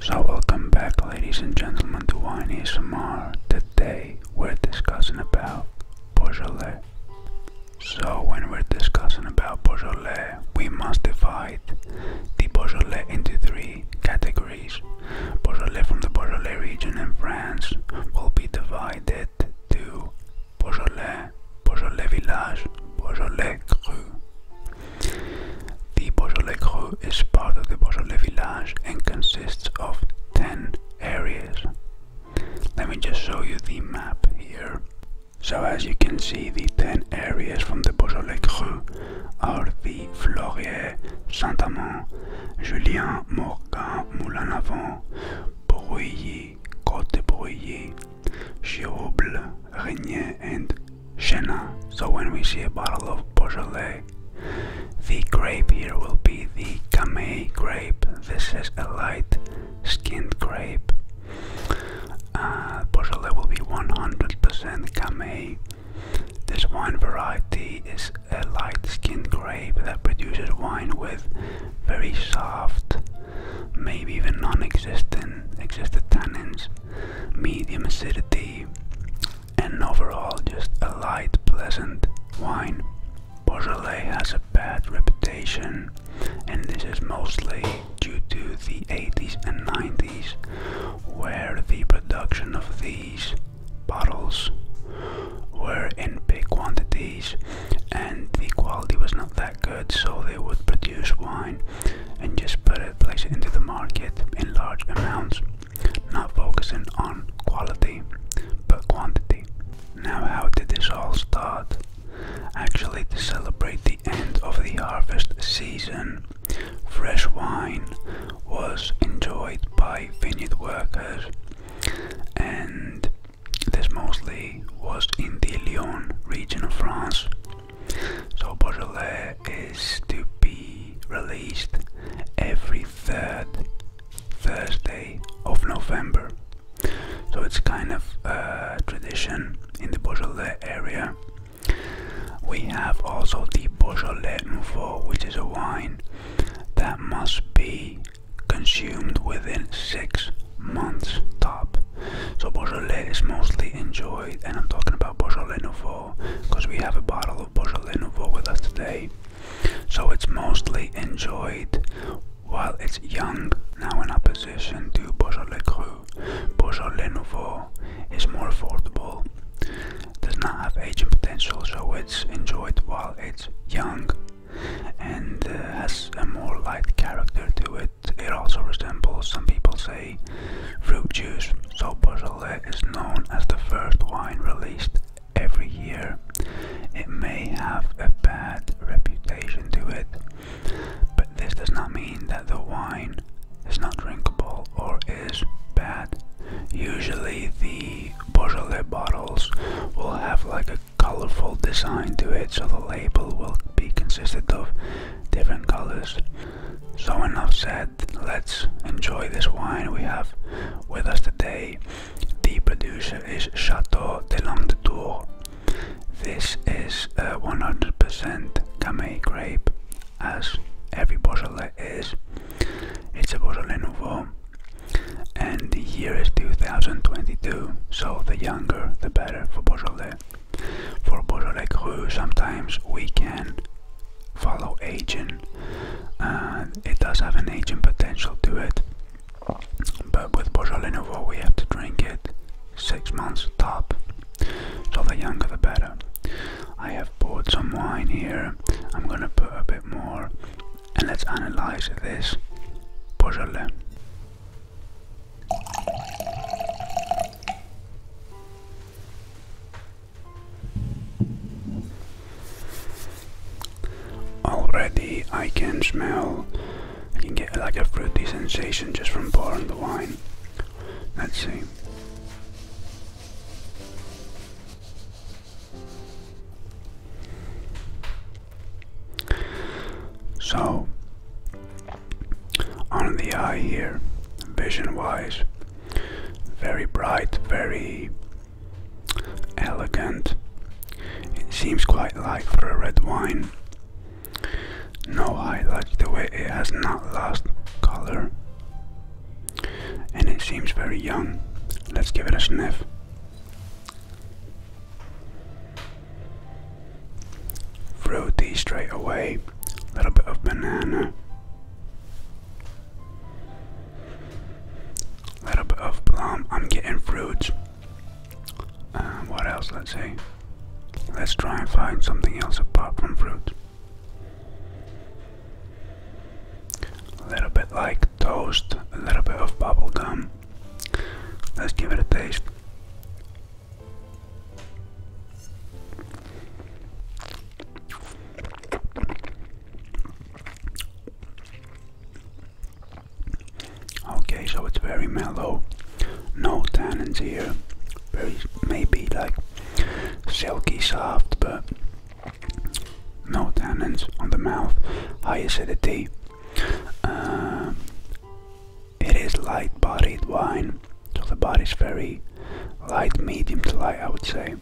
So welcome back ladies and gentlemen to Wine ASMR. Today we're discussing about Beaujolais. So when we're discussing about Beaujolais, we must divide the Beaujolais into three categories. Beaujolais from the Beaujolais region in France will be divided tête du Beaujolais, village, Beaujolais cru. The Beaujolais cru is part of the Beaujolais village and consists of 10 areas. Let me just show you the map here. So as you can see, the 10 areas from the Beaujolais cru are the Fleurier, Saint-Amand, Julien, Morgan, Moulin-Avant, Broyer, Côte Broyer, Giroble, Regnier, and Chenin. So when we see a bottle of Beaujolais, the grape here will be the Gamay grape. This is a light skinned grape. Uh, will be 100% Gamay. This wine variety is a light skinned grape that produces wine with very soft, maybe even non-existent, existed tannins, medium acidity, and overall just a light, pleasant wine. Beaujolais has a bad reputation, and this is mostly due to the 80s and 90s, where the production of these bottles were in big quantities and the quality was not that good so they would produce wine and just put it place into the market in large amounts not focusing on quality but quantity now how did this all start actually to celebrate the end of the harvest season fresh wine was enjoyed by vineyard workers and this mostly was in the Lyon region of France. So Beaujolais is to be released every third Thursday of November. So it's kind of a tradition in the Beaujolais area. We have also the Beaujolais Nouveau, which is a wine that must be consumed within six months top. So Beaujolais is mostly enjoyed, and I'm talking about Beaujolais Nouveau because we have a bottle of Beaujolais Nouveau with us today. So it's mostly enjoyed while it's young, now in opposition to Beaujolais Cru. Beaujolais Nouveau is more affordable does not have aging potential, so it's enjoyed while it's young and uh, has a more light character to it. It also resembles, some people say, fruit juice. So Beaujolais is known as the first wine released every year. It may have a bad reputation to it, but this does not mean that the wine is not drinkable or is bad. Usually the the bottles will have like a colorful design to it, so the label will be consisted of different colors. So enough said, let's enjoy this wine we have with us today. The producer is Chateau de Longue Tour. This is 100% Gamay grape, as every Beaujolais is. It's a Beaujolais Nouveau and the year is 2022, so the younger the better for Beaujolais. For Beaujolais Cru, sometimes we can follow aging. Uh, it does have an aging potential to it, but with Beaujolais Nouveau we have to drink it six months top, so the younger the better. I have poured some wine here. I'm gonna put a bit more and let's analyze this puzzle. Already I can smell, I can get like a fruity sensation just from pouring the wine. Let's see. So, on the eye here, vision wise, very bright, very elegant. It seems quite light for a red wine. No highlights the way it has not lost color and it seems very young. Let's give it a sniff. Fruity straight away, a little bit of banana, a little bit of plum. I'm getting fruits. Uh, what else? Let's see. Let's try and find something else apart from fruit. A little bit like toast, a little bit of bubble gum. Let's give it a taste. Okay, so it's very mellow. No tannins here very maybe like silky soft, but no tannins on the mouth, high acidity. Uh, it is light-bodied wine, so the body is very light, medium to light, I would say.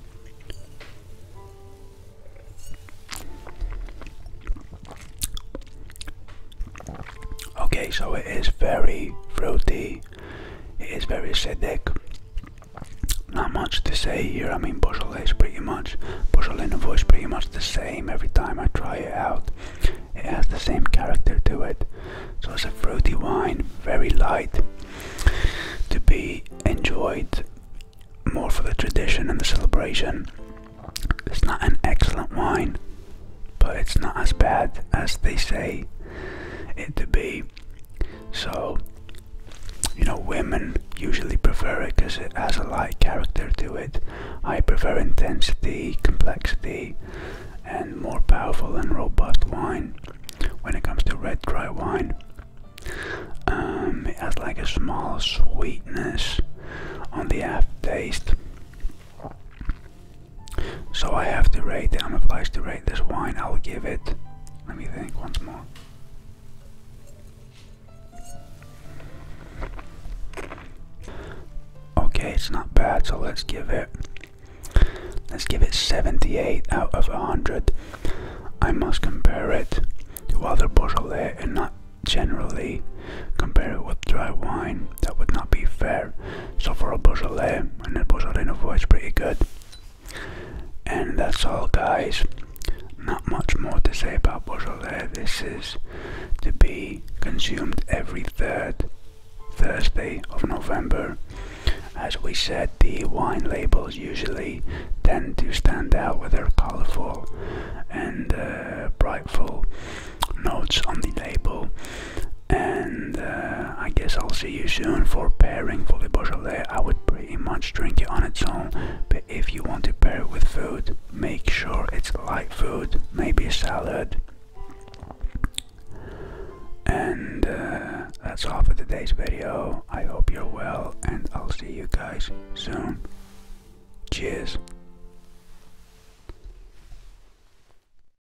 Okay, so it is very fruity, it is very acidic, not much to say here. I mean, Beaujolais is pretty much, in the voice, pretty much the same every time I try it out. It has the same character to it. So it's a fruity wine, very light, to be enjoyed more for the tradition and the celebration. It's not an excellent wine, but it's not as bad as they say it to be. So, you know, women usually prefer it because it has a light character to it. I prefer intensity, complexity, and more powerful and robust wine when it comes to red dry wine. Um, it has like a small sweetness on the aftertaste. So I have to rate it. I'm obliged to rate this wine. I'll give it. Let me think once more. Okay, it's not bad. So let's give it. Let's give it 78 out of 100. I must compare it to other Beaujolais and not generally compare it with dry wine. That would not be fair. So for a Beaujolais, and a Beaujolais Nouveau is pretty good. And that's all guys. Not much more to say about Beaujolais. This is to be consumed every third Thursday of November. As we said, the wine labels usually tend to stand out with their colorful and uh, brightful notes on the label. And uh, I guess I'll see you soon for pairing fully Beaujolais. I would pretty much drink it on its own, but if you want to pair it with food, make sure it's light food, maybe a salad. And uh, that's all for today's video. I hope you're well, and I'll see you guys soon. Cheers.